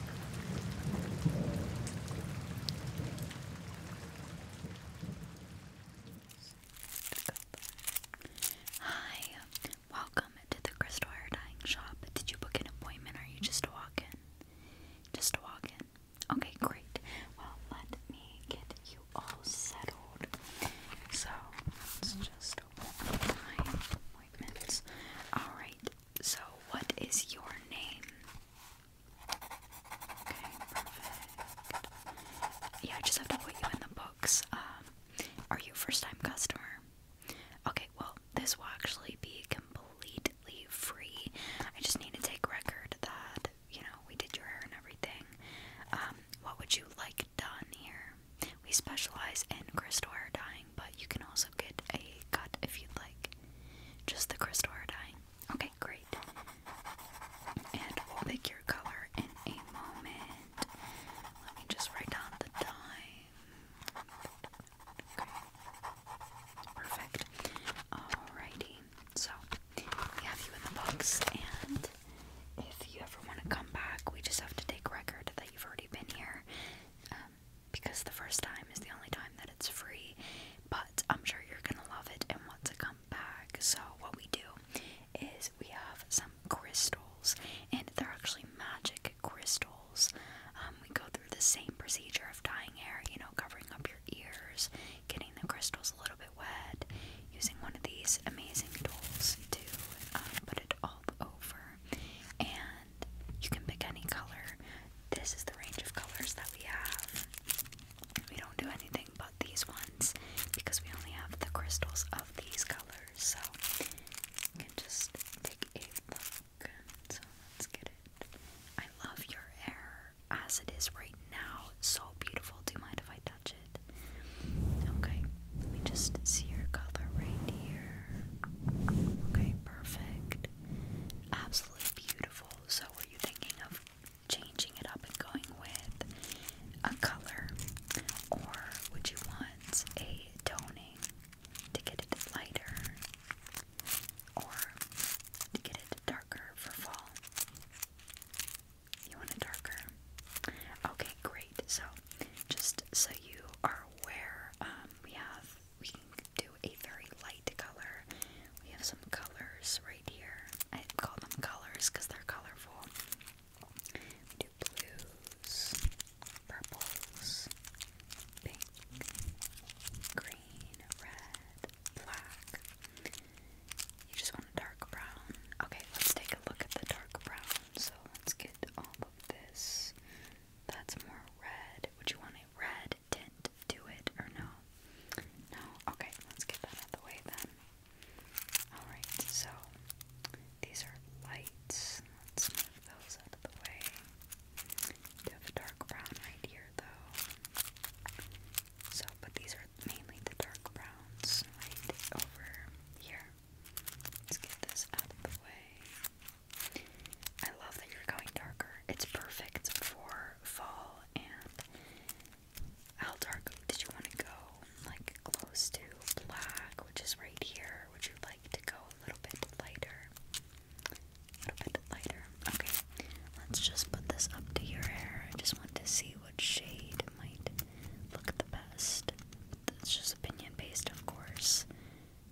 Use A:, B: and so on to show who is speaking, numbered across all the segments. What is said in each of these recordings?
A: Hi, welcome to the Crystal Hair Dyeing Shop. Did you book an appointment or are you just a walk in? Just a walk in. Okay, great. Well, let me get you all settled. So, let's just open my appointments. Alright, so, what is your name? Okay, perfect. Yeah, I just have to put you in the books. Um, are you a first time customer? Okay, well, this will actually be completely free. I just need to take record that, you know, we did your hair and everything. Um, what would you like done here? We specialize in crystal hair dyeing but you can also get a cut if you'd like. Just the crystal hair dyeing. Okay, great. And we'll pick your color in a moment. Let me just write down the time. Okay. Perfect. Alrighty. So, we have you in the books, and if you ever want to come back, we just have to take record that you've already been here. Um, because the first time is the only time that it's free, but I'm sure you're gonna love it and want to come back. So, what we do is we have some crystals, and they're actually magic crystals. Um, we go through the same procedure of dyeing hair, you know, covering up your ears, getting the crystals a little bit wet, using one of these amazing tools to uh, put it all over, and you can pick any color. This is the range of colors that we have. We don't do anything but these ones because we only have the crystals of these colors. So you can just take a look. So let's get it. I love your hair as it is right now. So beautiful. Do you mind if I touch it? Okay, let me just see your color right here. Okay, perfect. Absolutely beautiful. So, are you thinking of changing it up and going with a color, or would you want a toning to get it lighter, or to get it darker for fall? You want it darker? Okay, great. So, just so you are aware, um, we have we can do a very light color. We have some colors right here. I call them colors because they're colorful. We do blues, purples, pink, green, red, black. You just want a dark brown. Okay, let's take a look at the dark brown. So let's get all of this. That's more red. Would you want a red didn't do it or no? No? Okay, let's get that out of the way then. Alright, so these are lights. Let's move those out of the way. You have a dark brown right here though. So, but these are mainly the dark browns right over here. Let's get this out of the way. I love that you're going darker. It's perfect for fall and how dark did you want to go? Like close to black, which is right here. Would you like to go a little bit lighter? A little bit lighter. Okay, let's just put this up to your hair. I just want to see what shade might look the best. That's just opinion based, of course.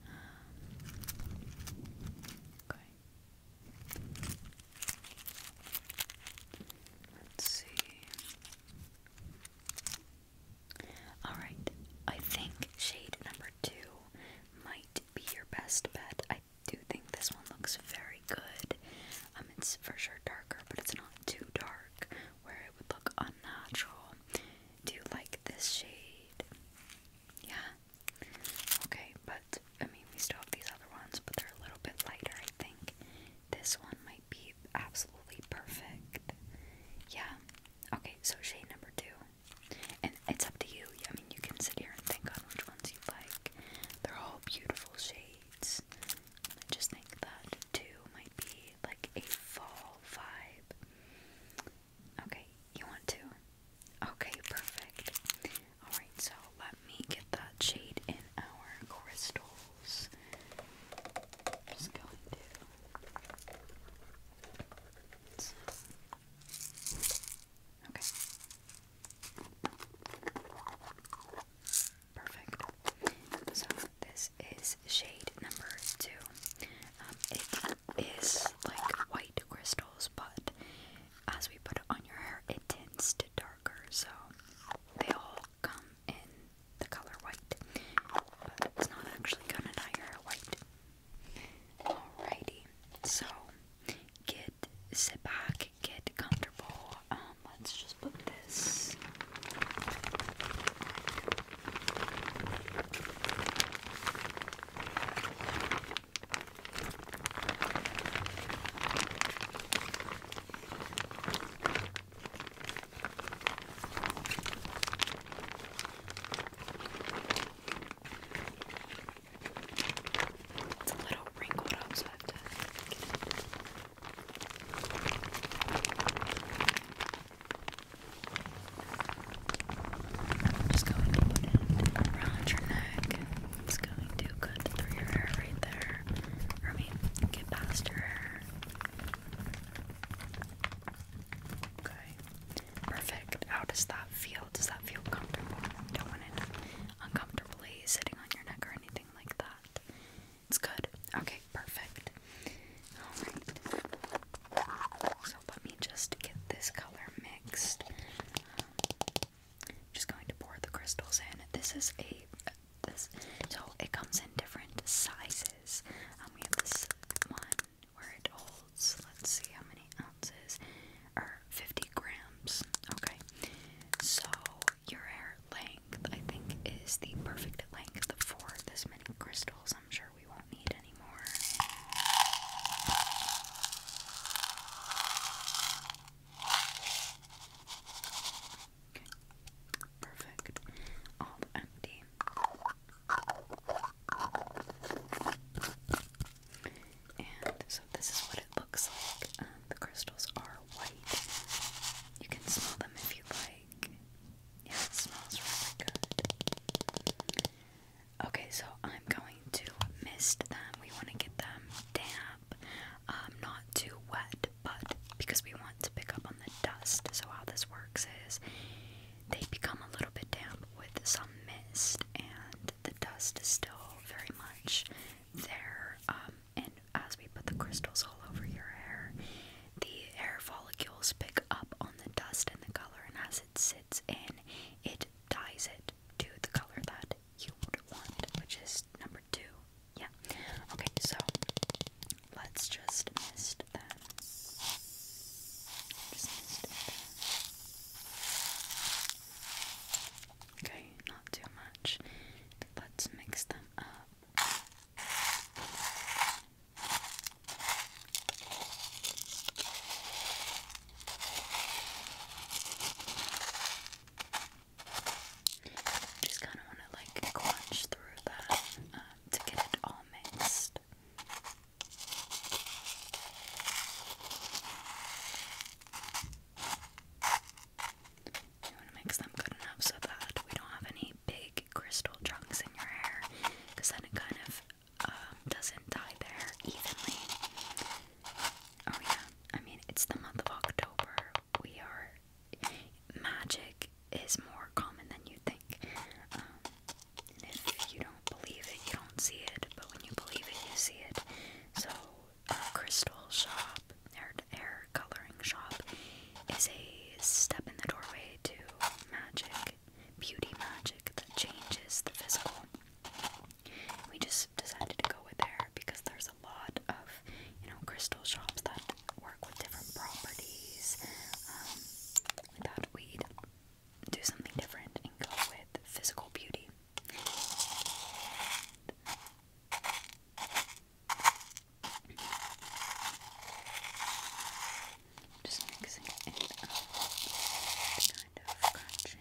A: Um, okay. Let's see. Alright, I think shade number two might be your best bet. I do think this one looks very good. Um, it's for sure darker, but it's not too dark where it would look unnatural. Do you like this shade? Yeah, Okay, but I mean, we still have these other ones, but they're a little bit lighter, I think. This one might be absolutely perfect. Yeah. Okay, so shade number two. And it's up to you. I mean, you can sit here and think on which ones you like. They're all beautiful shades. I just think that two might be like a fall vibe. Okay, you want to? Okay, perfect. Alright, so let me get that shade in our crystals. just going to. Okay. Perfect. So this is shade number two. Um, it is like white crystals, but as we put it on your hair, it tends to darker. So they all come in the color white, but it's not actually gonna dye your hair white. Alrighty, so get sit back, get comfortable. Um, let's just put this. It's a little wrinkled up, so I have to get it just going to put it around your neck. It's going to cut through your hair right there. I mean, get past your hair. Okay. Perfect. How does that feel? Does that feel comfortable? Don't want it uncomfortably sitting on your neck or anything like that. It's good. Okay, perfect. Alright. So let me just get this color mixed just going to pour the crystals in. This is a this so it comes in different sizes. Um, we have this one where it holds. Let's see how many ounces or 50 grams. Okay, so your hair length I think is the perfect length for this many crystals. I'm sure we won't need any more. Perfect. All empty. And so this is what it looks like. Um, the crystals are white. You can smell them if you like. Yeah, it smells really good. Okay, so I'm going to mist them. We want to get them damp, um, not too wet, but because we want to pick up on the dust. So, how this works is they become a little bit damp with some mist, and the dust is still very much there. Um, and as we put the crystals all over your hair, the hair follicles pick up on the dust and the color, and as it sits in, it ties it to the color that you would want, which is number two. Yeah. Okay, so let's just mist them. Okay, not too much. Let's mix them up. Just kind of want to like crunch through that um, to get it all mixed. You want to mix them good enough so that we don't have any big crystal chunks in your hair because then it kind of um, doesn't dye there evenly. Oh yeah, I mean it's the month of October. We are magic is more common than you think. Um, if you don't believe it, you don't see it. But when you believe it, you see it. So, uh, Crystal Shop, hair hair coloring shop, is a step in the doorway to magic, beauty magic that changes the physical we just decided to go with there because there's a lot of you know crystal shops that work with different properties. Um, we thought we'd do something different and go with physical beauty. Just mixing it up, um, kind of crunching.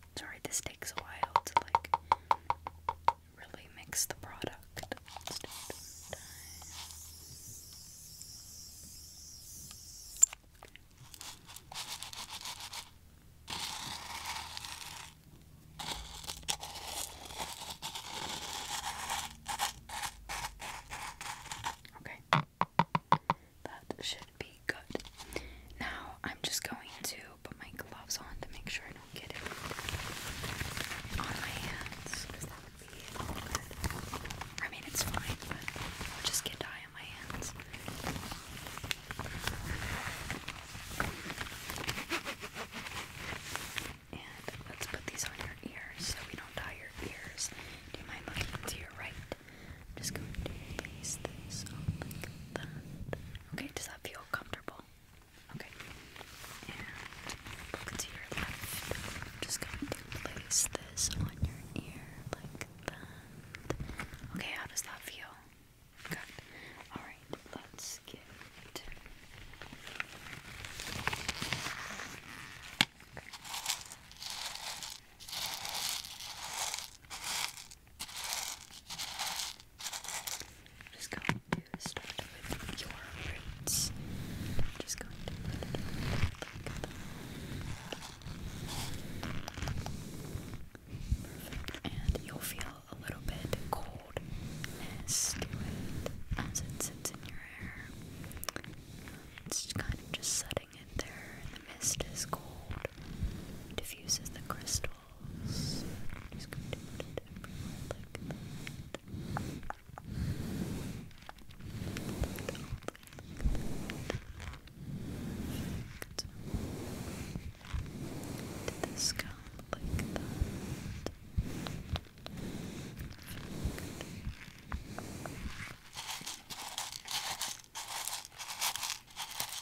A: Sorry, this takes a while to like really mix the product. Okay. That now I'm just going to put my gloves on to make sure I don't get it on my hands I mean it's fine, just get dye on my hands. And let's put these on your ears so we don't dye your ears. Do you mind looking to your right? I'm just going to place this on like Okay, does that feel comfortable? Okay. And look to your left. just going to place this on your ear like that. Okay, how does that feel? Good. Alright, let's get I'm just going to start with your roots. just going to put it like that. Perfect. And you'll feel a little bit coldness as it sits in your hair. It's kind of just setting it there, the mist is cold, diffuses the crystals tools. I'm just going to put it everywhere like that. Perfect. To the scalp like that. Perfect.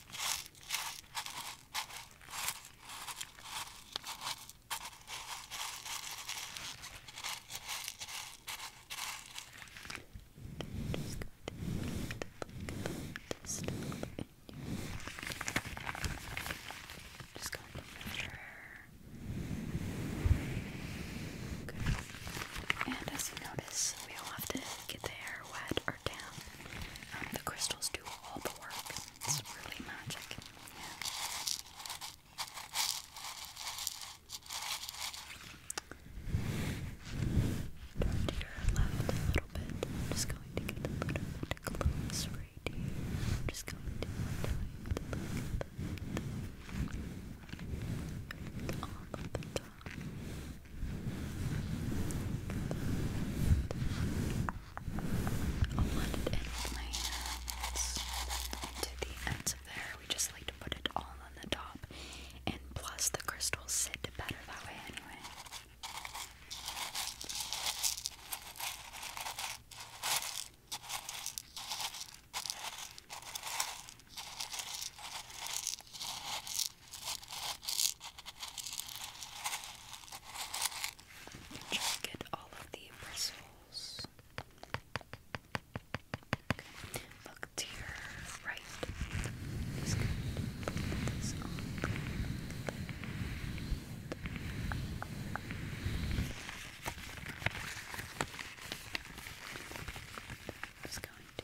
A: Just going to put the Just going to measure. Good. And as you notice, we all have to get the hair wet or damp. Um, the crystals do all the work. It's really magic. Turn to your left a little bit. just going to get a little bit close right here. just going to tighten all of the I'll it in with my hands into the ends of there. We just like to put it all on the top, and plus the crystals sit better that way anyway. Try to get all of the bristles. Look to your right. Just going to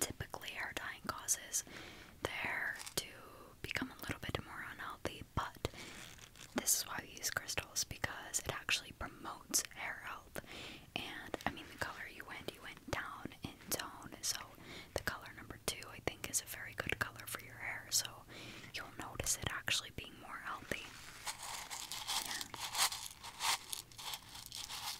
A: Typically, hair dying causes the hair to become a little bit more unhealthy, but this is why we use crystals because it actually promotes hair health. And I mean, the color you went, you went down in tone, so the color number two, I think, is a very good color for your hair, so you'll notice it actually being more healthy.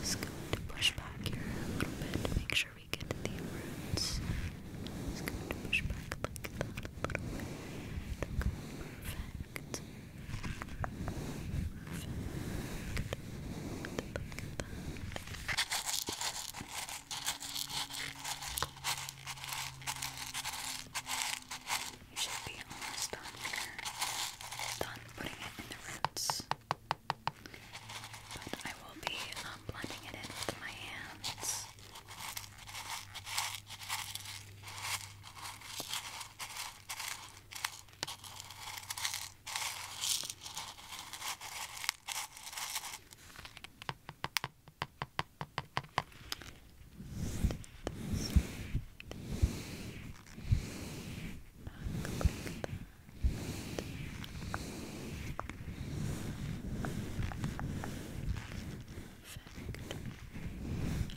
A: Just going to push back here a little bit to make sure we get to the roots. Just going to push back a little bit. Okay, perfect. Perfect. You should be almost done here. Done putting it in the roots. But I will be um, blending it in with my hands.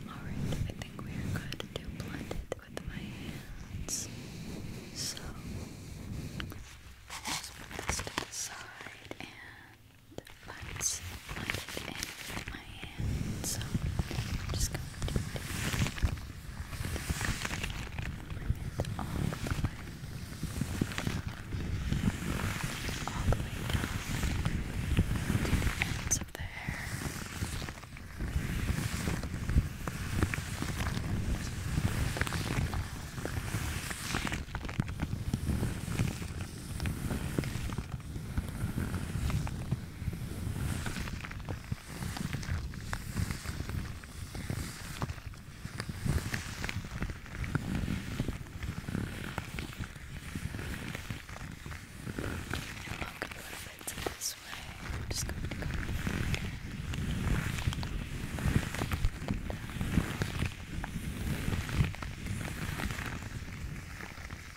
A: Alright, I think we are good to blend it with my hands. So, just put this to the side and let's blend it in with my hand. So I'm just going to do it. Bring it all the way. All the way down to the ends of the hair. All the way down walk a little bit to this way. I'm just going to go down.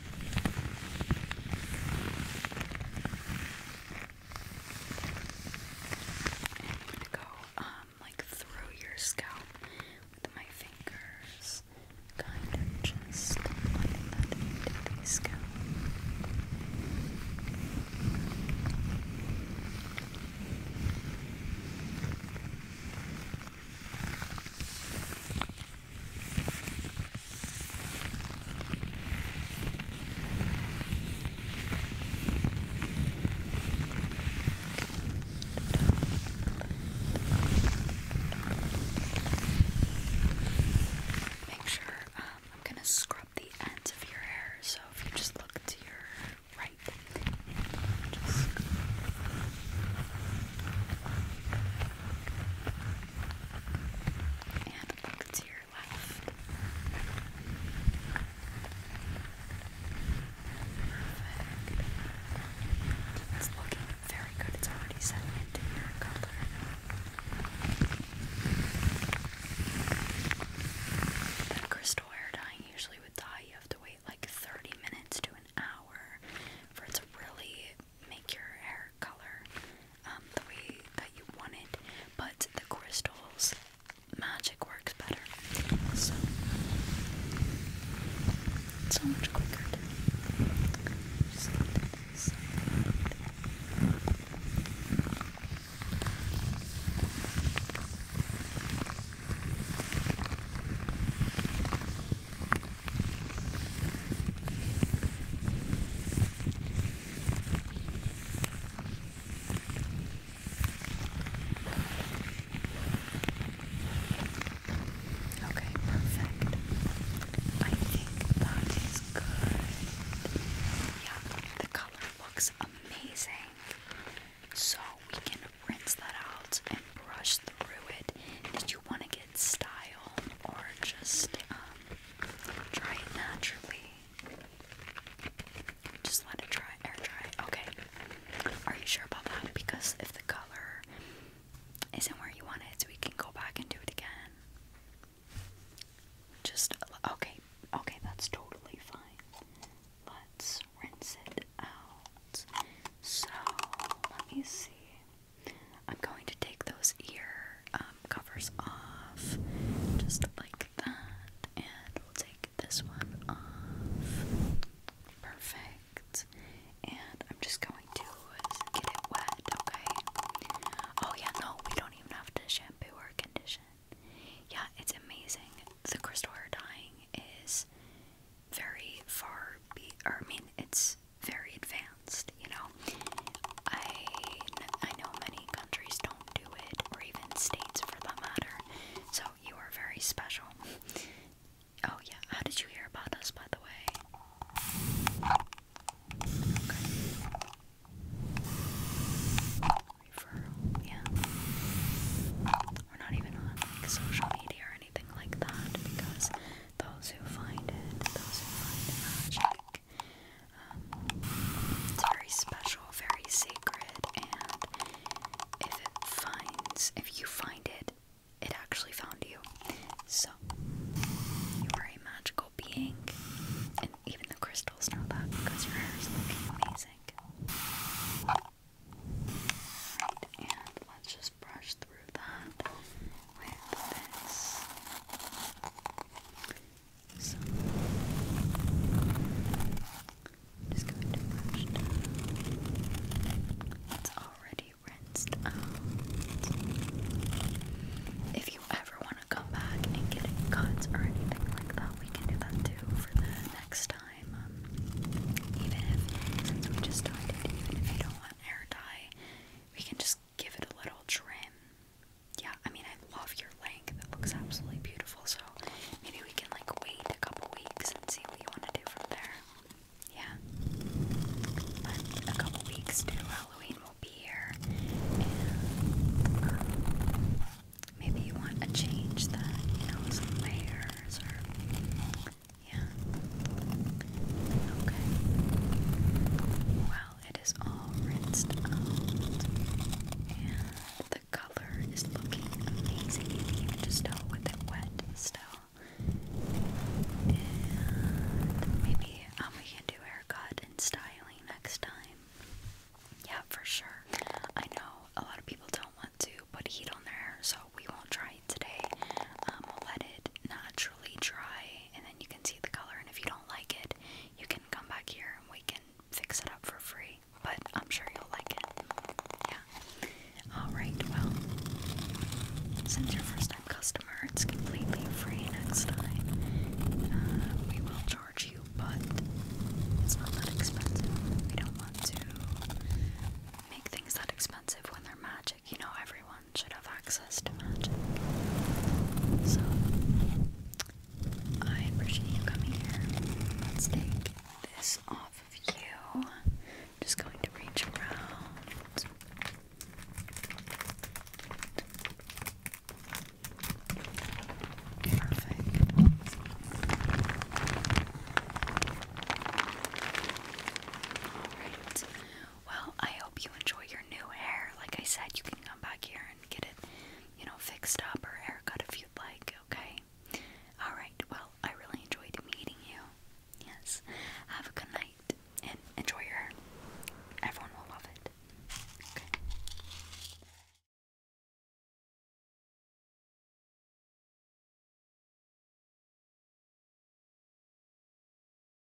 A: I'm going to go um like through your scalp with my fingers, kind of just applying the scalp. Make sure um, I'm gonna scrub the ends of your hair, so if you just look to your right, just and look to your left. Perfect. It's looking very good. It's already setting into your color. crystal hair dyeing usually with dye you have to wait like 30 minutes to an hour for it to really make your hair color um, the way that you want it, but the crystals magic works better. So much quicker. Okay, perfect. I think that is good. Yeah, the color looks amazing. So we can rinse that out and brush through it. Did you want to style or just um, try it naturally. Just let it dry, air dry. Okay. Are you sure about that? Because if the color isn't where you want it, so we can go back and do it again. Just okay, okay, that's totally fine. Let's rinse it out. So let me see. I'm going to take those ear um, covers off, just like that, and we'll take this one off. Perfect. And I'm just going to get it wet, okay? Oh, yeah, no, we don't even have to shampoo or condition. Yeah, it's amazing. The crystal hair dyeing is very far I mean it's very advanced, you know. I, I know many countries don't do it, or even states for that matter, so you are very special. Oh, yeah, how did you hear about us, by the way? Referral, yeah. We're not even on social media or anything like that because those who find it, those who find magic. Um, it's very special, very sacred, and if it finds, if you find it, it actually found you. So, you are a magical being, and even the crystals know that because your hair is looking amazing. Alright, and let's just brush through that with this. So, just going to brush down. It's already rinsed out. If you ever want to come back and get cuts or anything like that, we can do that too for the next time. Um, even if, since we just dyed if you don't want hair dye, we can just give it a little trim. Yeah, I mean, I love your length. It looks absolutely beautiful. So maybe we can like wait a couple weeks and see what you want to do from there. Yeah. But a couple weeks to Halloween will be here. And um, maybe you want to change that, you know, some layers or. Yeah. Okay. Well, it is all rinsed out, and the color is looking amazing. just tell with it wet still. maybe um, we can do haircut and styling next time. Yeah, for sure. I know a lot of people don't want to put heat on their hair, so we won't try it today. Um, we'll let it naturally dry and then you can see the color and if you don't like it you can come back here and we can fix it up for free but I'm sure you'll like it yeah alright well since your first time customer it's completely free next time uh, we will charge you but it's not that expensive we don't want to make things that expensive when they're mad you know, everyone should have access to magic. So, I appreciate you coming here. Let's take this off of you. Just going to reach around. Perfect. Alright. Well, I hope you enjoy your new hair. Like I said, you can come back here and get it, you know, fixed up or haircut if you'd like, okay? Alright, well, I really enjoyed meeting you. Yes. Have a good night and enjoy your Everyone will love it. Okay.